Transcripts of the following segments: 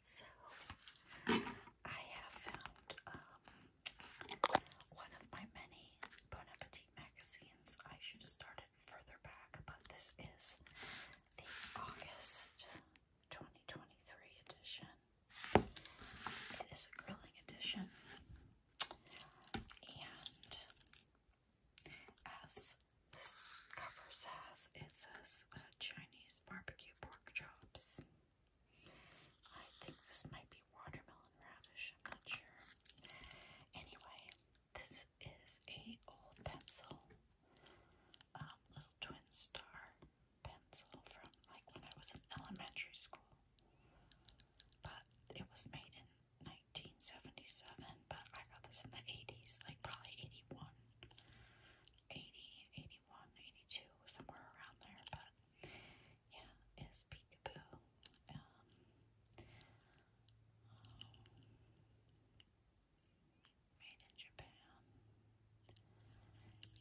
So I have found um, one of my many Bon Appetit magazines. I should have started further back, but this is the August 2023 edition. It is a grilling edition, and as this cover says, it says uh, Chinese barbecue pork chops. I think this might be watermelon radish, I'm not sure. Anyway, this is a old pencil, um, little twin star pencil from like when I was in elementary school. But it was made in 1977 but I got this in the 80s, like probably 81, somewhere around there. But yeah, it's Peekaboo. Um, made in Japan.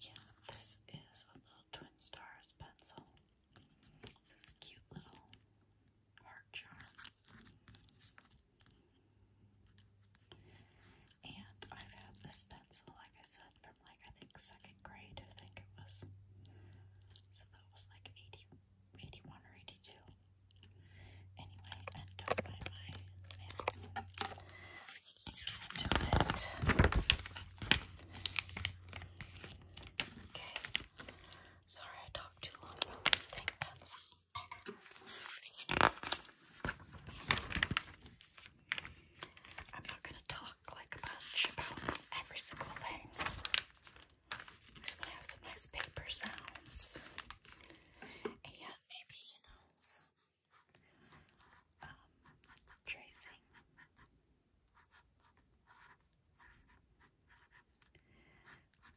Yeah, this is a little Twin Stars pencil. This cute little heart charm. And I've had this pencil, like I said, from like I think second grade, I think it was. So that was like 80, or 82. Anyway, and do my nails. Let's just get into it. Okay. Sorry I talked too long about this dang pencil. I'm not going to talk like a bunch about every single thing. just want to have some nice paper sounds. And maybe, you know, um, tracing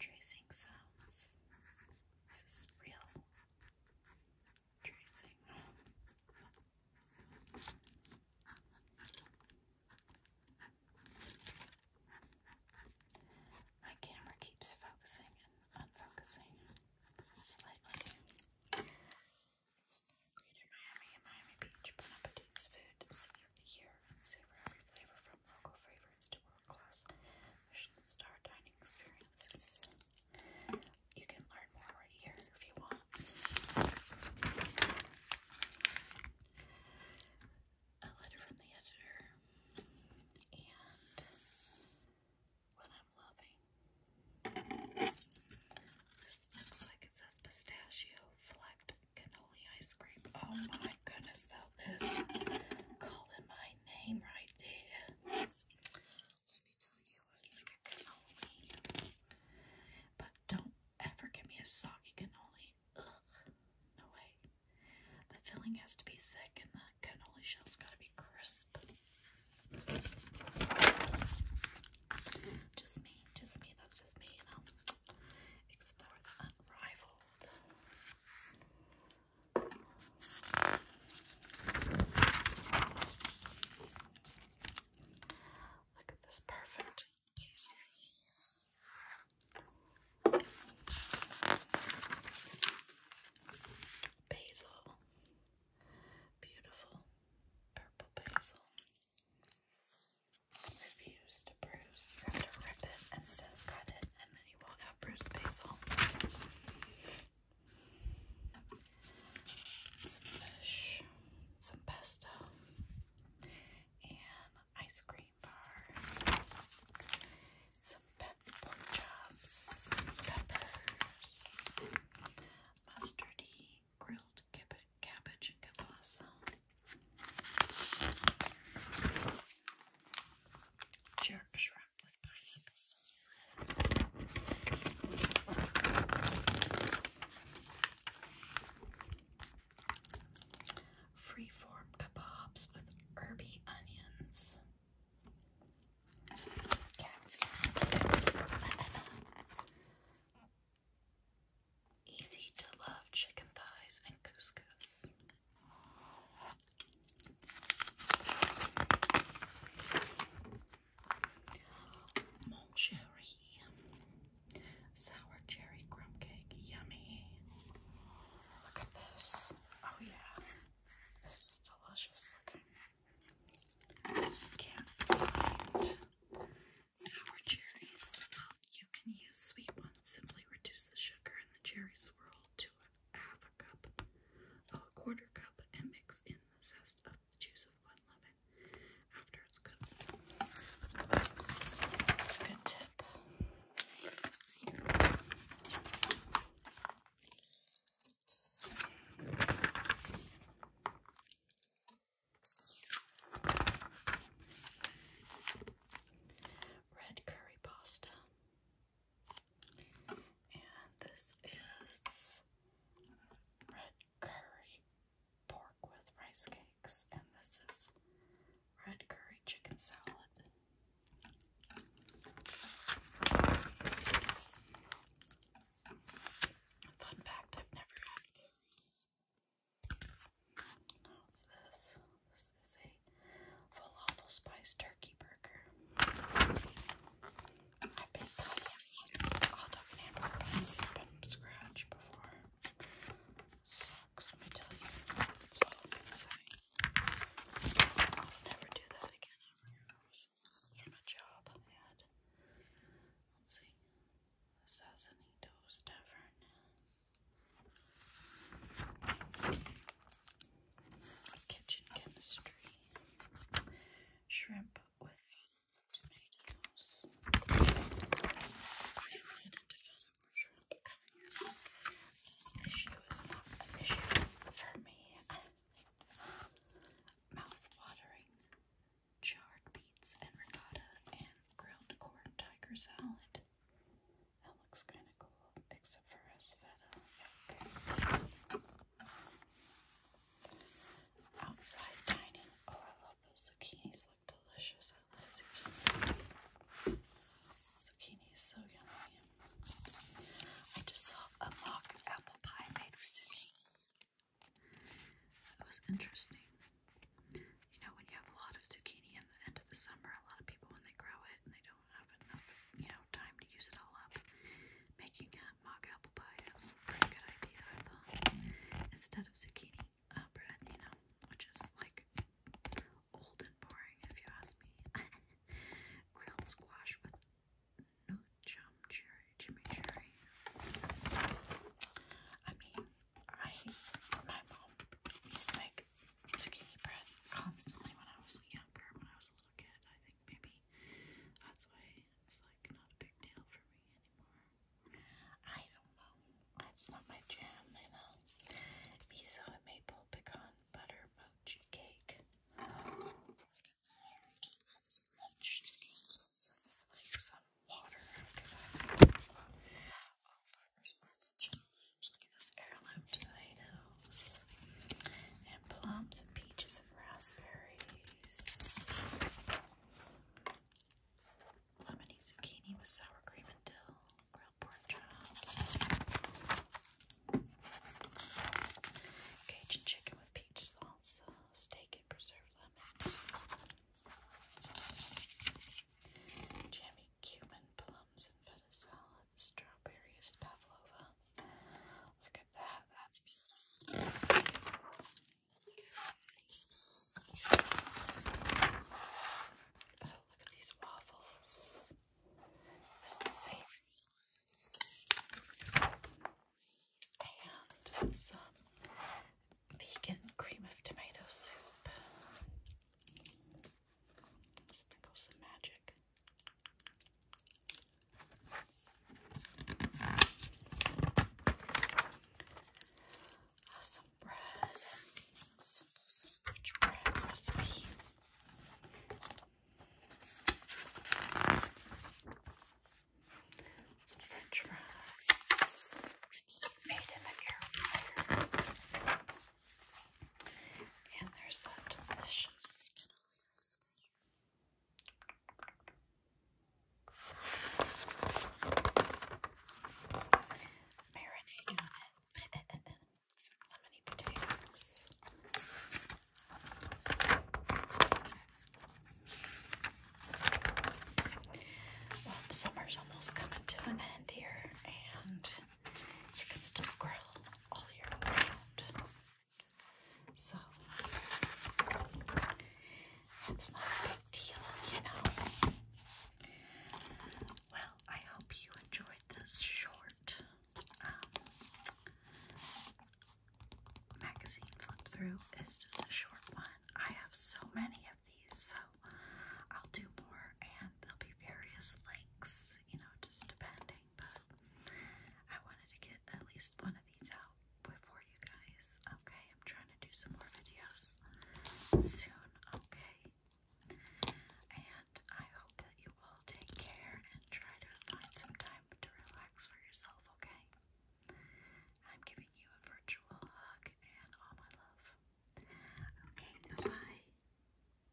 tracing sounds. This is real tracing. My camera keeps focusing and unfocusing slightly. It's Miami and Miami Beach, Bon Appetit's food, city of and savor every flavor from local favorites to world class Michelin star dining experiences. You can learn more right here if you want. A letter from the editor and what I'm loving. This looks like it says pistachio flecked cannoli ice cream. Oh my goodness, that this calling my name right there. Let me tell you, I like a cannoli. But don't ever give me a soggy cannoli. Ugh, no way. The filling has to be thick and the cannoli shell's gotta be crisp. Just me, just me, that's just me, you know. Explore the unrivaled. Look at this perfect piece Basil. Beautiful purple basil. Refuse to bruise. You have to rip it instead of cut it and then he won't have Bruce Basil. Some fish, some pesto, and ice cream bar, some pep pork peppers, mustardy, grilled cabbage and kielbasa, jerk shrimp. Freeform kebabs with herby onions. Easy to love chicken thighs and couscous. Malt sour cherry crumb cake, yummy. Look at this. Oh, yeah, this is delicious looking. Can't find sour cherries. You can use sweet ones, simply reduce the sugar in the cherry swirl to a half a cup, a quarter cup, and mix in the zest of the juice of one lemon after it's cooked. That's a good tip. Red curry pasta. And this is red curry pork with rice cakes. And this is red curry chicken salad. Fun fact I've never had. How's this? This is a falafel spice turkey burger. I've baked plenty of hot dog and hamburger buns from scratch before. Sucks, let me tell you. That's all i say. never do that again From a job I had. Let's see. Sassanitos Tavern. Kitchen Chemistry, Shrimp with Tomatoes. I am not This issue is not an issue for me. Mouth-watering charred beets and ricotta and grilled corn tiger salad. That looks kind of cool, except for us feta. Outside dining. Oh, I love those zucchinis. Look delicious. Zucchini is so yummy. I just saw a mock apple pie made with zucchini. That was interesting. You know, when you have a lot of zucchini in the end of the summer, a lot of people when they grow it and they don't have enough, you know, now time to use it all up. Making a uh, mock apple pie is a good idea, Instead of zucchini uh, bread, you know, which is like old and boring if you ask me. Grilled squash with no chum cherry, I mean, I, my mom used to make like took breath constantly when I was younger, when I was a little kid. I think maybe that's why it's like not a big deal for me anymore. I don't know. It's not my jam, Miso and maple pecan butter mochi cake. Just those heirloom tomatoes. And plums and peaches and raspberries. Lemony zucchini with sour cream and dill. Grilled pork chops. Cajun chicken with peach salsa. Steak and preserved lemon. Jammy cumin, plums, and feta salad. Strawberries, pavlova. Look at that. That's beautiful. look at these waffles. This is savory. And some vegan cream of tomato soup. Sprinkle some magic. Some bread, simple sandwich bread recipe. Some French fries made in the air fryer. And there's that delicious cannoli Marinade on it. Some lemony potatoes. summer's almost coming to an end here, and you can still grow all year round. So that's not a big deal, you know. Well, I hope you enjoyed this short um, magazine flip through. It's just a short one. I have so many of these, so I'll do more, and there'll be various links, you know, just depending but I wanted to get at least one of these out before you guys. Okay, I'm trying to do some more videos soon. Okay, and I hope that you all take care and try to find some time to relax for yourself. Okay, I'm giving you a virtual hug and all my love. Okay, bye